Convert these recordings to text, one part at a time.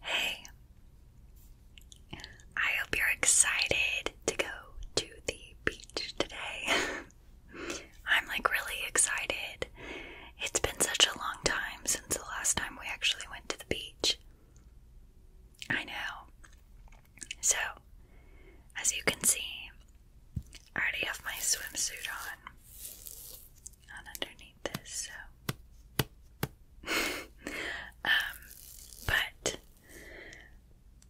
Hey, I hope you're excited to go to the beach today. I'm like really excited. It's been such a long time since the last time we actually went to the beach. I know. So, as you can see, I already have my swimsuit on on underneath this, so um but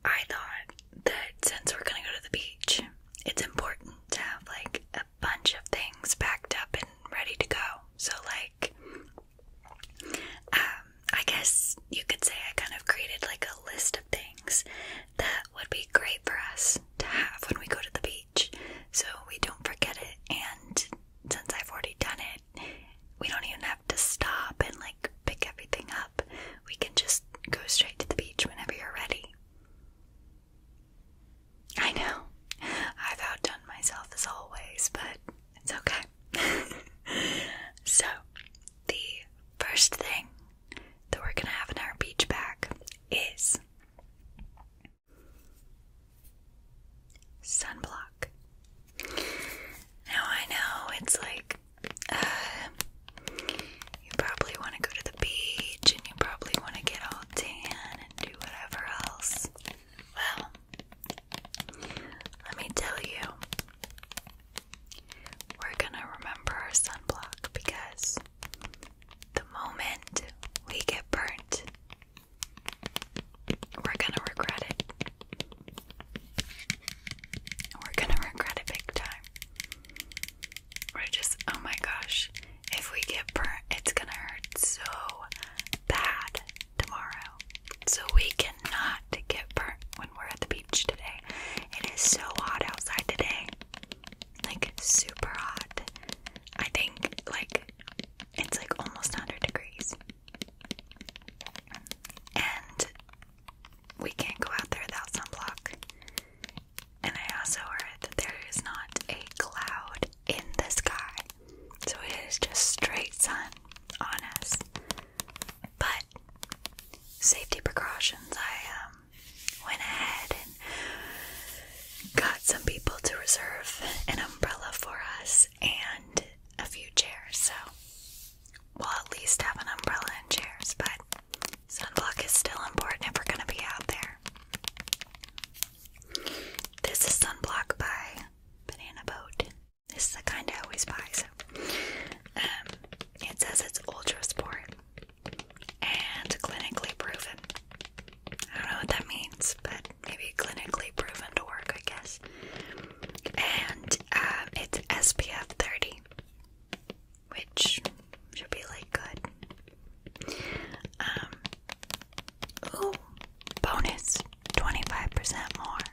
I thought that since we're gonna go to the beach, it's important to have like a bunch of things packed up and ready to go. So like um I guess you could say I kind of created like a list of things that would be great for us to have when we go to the beach so we don't forget it. And since I've already done it, we don't even have to stop and like pick everything up. We can just go straight to the beach whenever you're ready. I know, I've outdone myself as always, but it's okay. so, the first thing that we're gonna have in our beach bag is Sunblock. Now I know it's like uh, you probably want to go to the beach and you probably want to get all tan and do whatever else. Well, let me tell you, we're gonna remember our sunblock because the moment we get burnt, we're gonna regret it. We're gonna regret it big time. We're just, oh my gosh, if we get burnt, it's gonna hurt so bad tomorrow. So we cannot get burnt when we're at the beach today. It is so hot outside today. Like super hot. I think like it's like almost 100 degrees. And we can't go out there without sunblock. And I also heard that there is not a cloud in the sky. So it is just straight sun on us. But safety precautions, I um went ahead and got some people to reserve an umbrella for us and a few chairs. So we'll at least have an umbrella and chairs, but sunblock is still important if we're going to be out there. This is sunblock by Banana Boat. This is the kind I always buy. So um, it says it's ultra sport and clinically proven. I don't know what that means, but maybe clinically proven to work, I guess. And um, it's SPF 30, which should be like good. Um, ooh, bonus 25% more.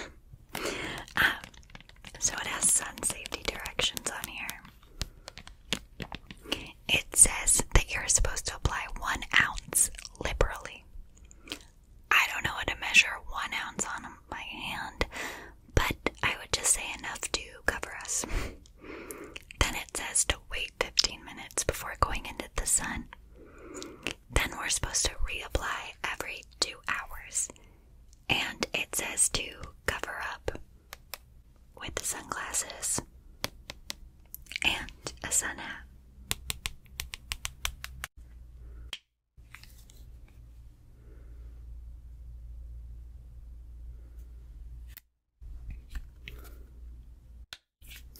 Ah, so it has sun safety directions on here. It says that you're supposed to apply one ounce liberally. I don't know how to measure one ounce on my hand, but I would just say enough to cover us. then it says to wait 15 minutes before going into the sun. Then we're supposed to reapply every two hours and it says to cover up with sunglasses and a sun hat.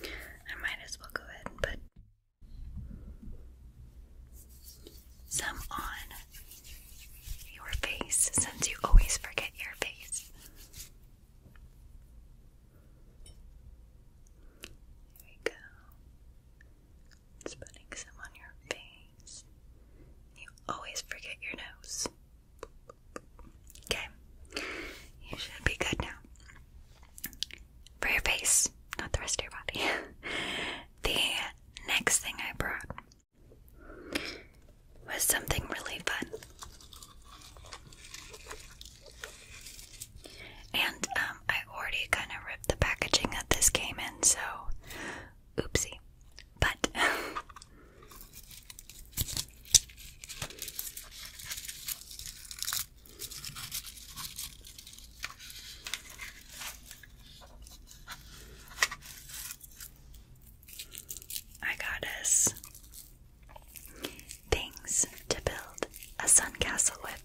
I might as well go ahead and put some on your face since you always forget your face. There we go. putting some on your face. You always forget your nose. Okay. You should be good now. For your face, not the rest of your body. the next thing I brought was something really fun. And um, I already kind of ripped the packaging that this came in, so oopsie. But I got us things to build a sun with.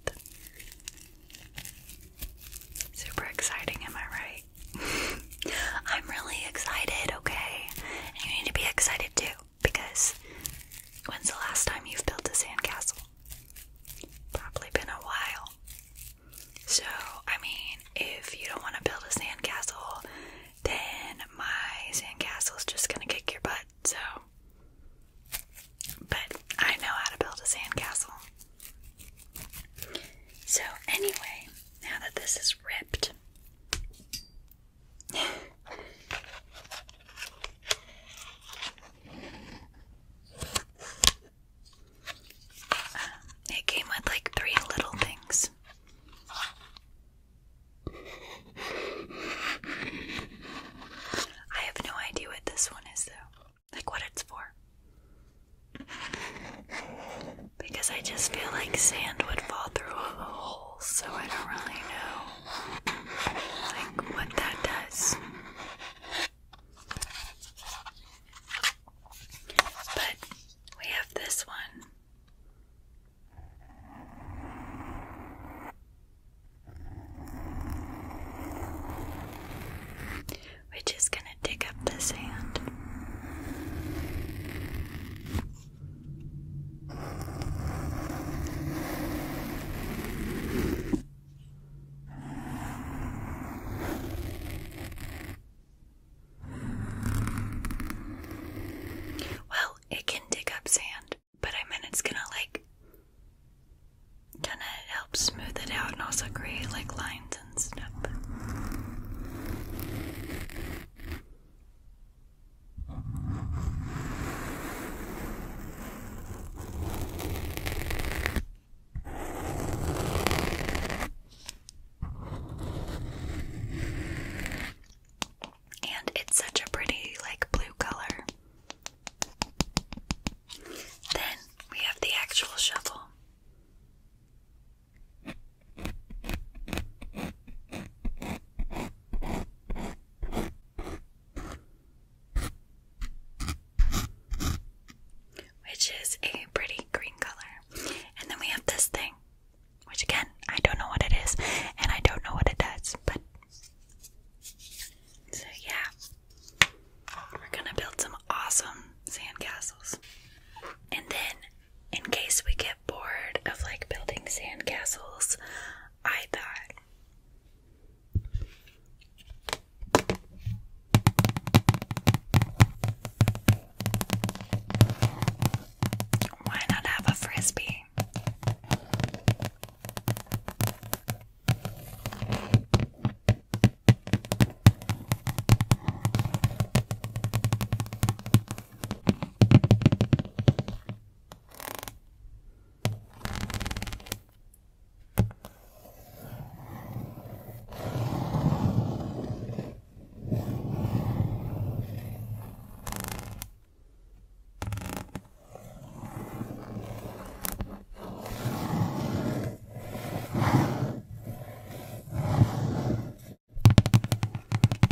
Super exciting, am I right? I'm really excited, okay? you need to be excited too, because when's the last time you've built a sandcastle? Probably been a while. So, I mean, if you don't want to build a sandcastle, then my is just gonna kick your butt, so. But I know how to build a sandcastle. So, anyway, now that this is ripped, it came with like three little things. I have no idea what this one is, though. Like, what it's for. Because I just feel like sand would fall through a hole, so I don't really know. Like, what that does. But we have this one. Which is going to dig up the sand. Well, it can dig up sand, but I mean it's gonna like kinda help smooth it out and also create like lines and stuff. Uh-huh. And it's such a pretty, like, blue color. Then we have the actual shovel which is a pretty green color. And then we have this thing, which again, I don't know what it is, and I don't know what it does, but so yeah. We're gonna build some awesome sandcastles. And then, in case we get bored of like building sandcastles, I thought why not have a frisbee?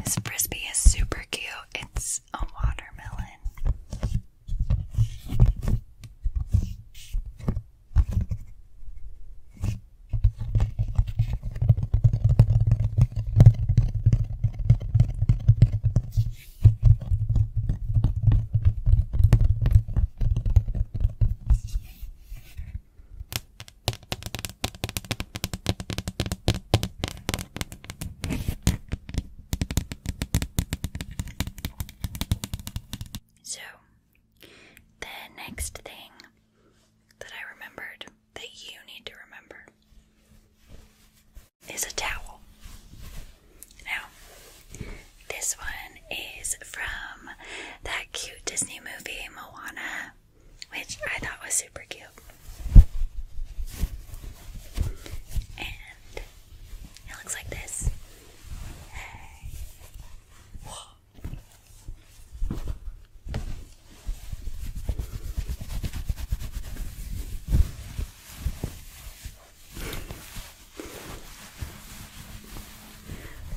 This frisbee is super cute. It's a watermelon. So, the next thing that I remembered that you need to remember is a towel. Now, this one is from that cute Disney movie Moana, which I thought was super cute. And it looks like this.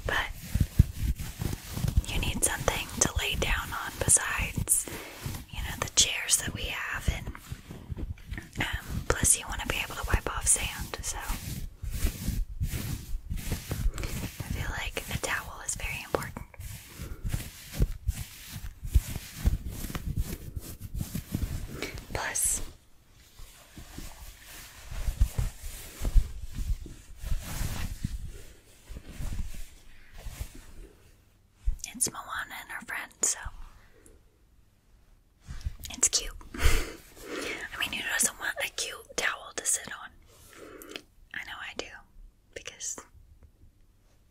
But you need something to lay down on besides, you know, the chairs that we have um, plus, you want to be able to wipe off sand, so I feel like a towel is very important. Plus, it's Moana and her friend, so it's cute. I mean, who doesn't want a cute towel to sit on? I know I do, because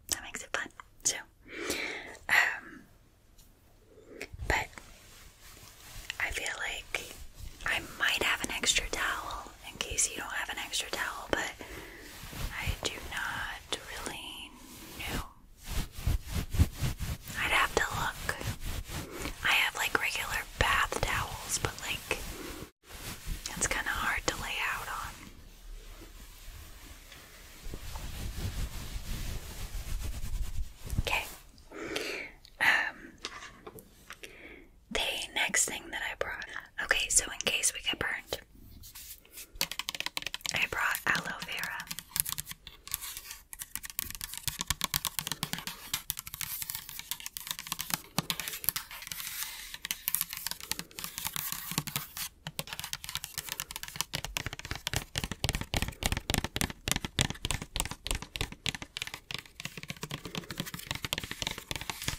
that makes it fun. So, um, but I feel like I might have an extra towel in case you don't have an extra towel, but I do not really new. I'd have to look. I have like regular bath towels, but like it's kind of hard to lay out on. Okay. Um the next thing that I brought. Okay, so in case we get burned, I brought aloe vera.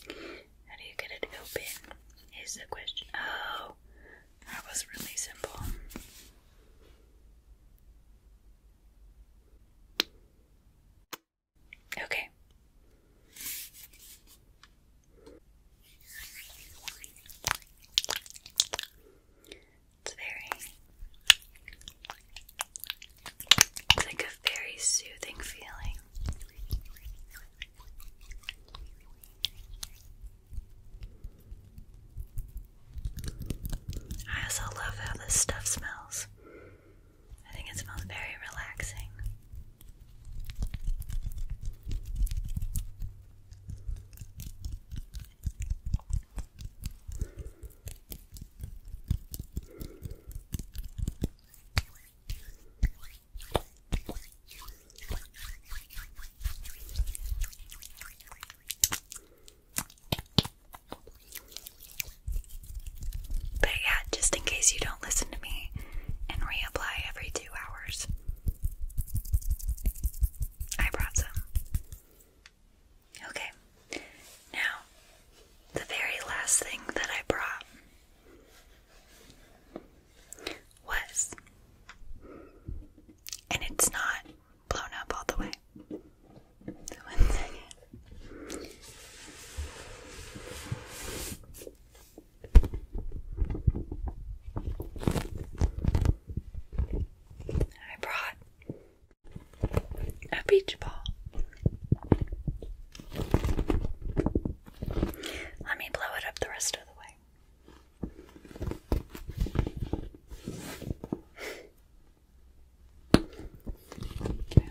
How do you get it open? Is the question. Oh, that was really simple. Okay. It's very, it's like a very soothing feeling. I also love how this stuff smells. I think it smells very relaxing. But yeah, just in case you don't listen to me and reapply every two hours, I brought some. Okay, now the very last thing that I brought was, and it's not blown up all the way. I brought a beach ball. Let me blow it up the rest of the way. Okay.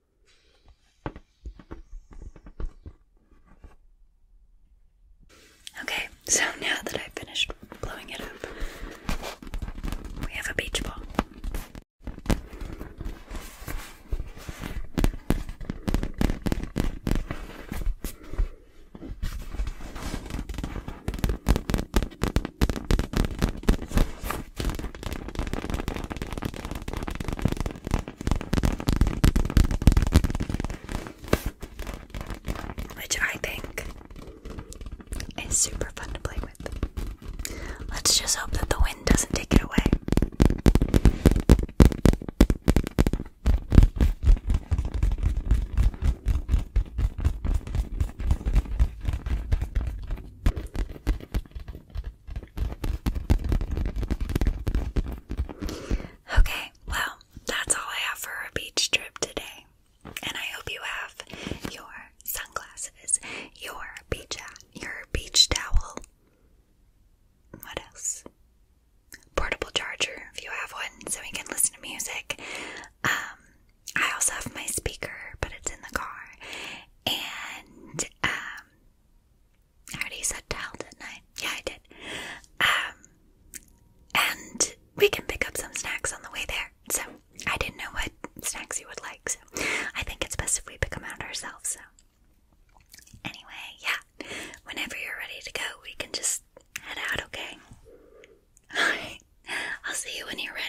Okay, so now that I've finished blowing it up, we have a beach ball. Which I think is super fun to play with. Let's just hope that the wind doesn't take it away. Okay, well, that's all I have for a beach trip today. And I hope you have your sunglasses, your beach your beach towel. What else? Portable charger if you have one so we can listen to music. Um, I also have my speaker, but it's in the car. And um, I already said towel, didn't I? Yeah, I did. Um, and we can pick up some snacks on the way there. So I didn't know what snacks you would like, so I think it's best if we pick them out ourselves. So anyway, yeah, whenever you're ready to go, we can just head out, okay? All right, I'll see you when you're ready.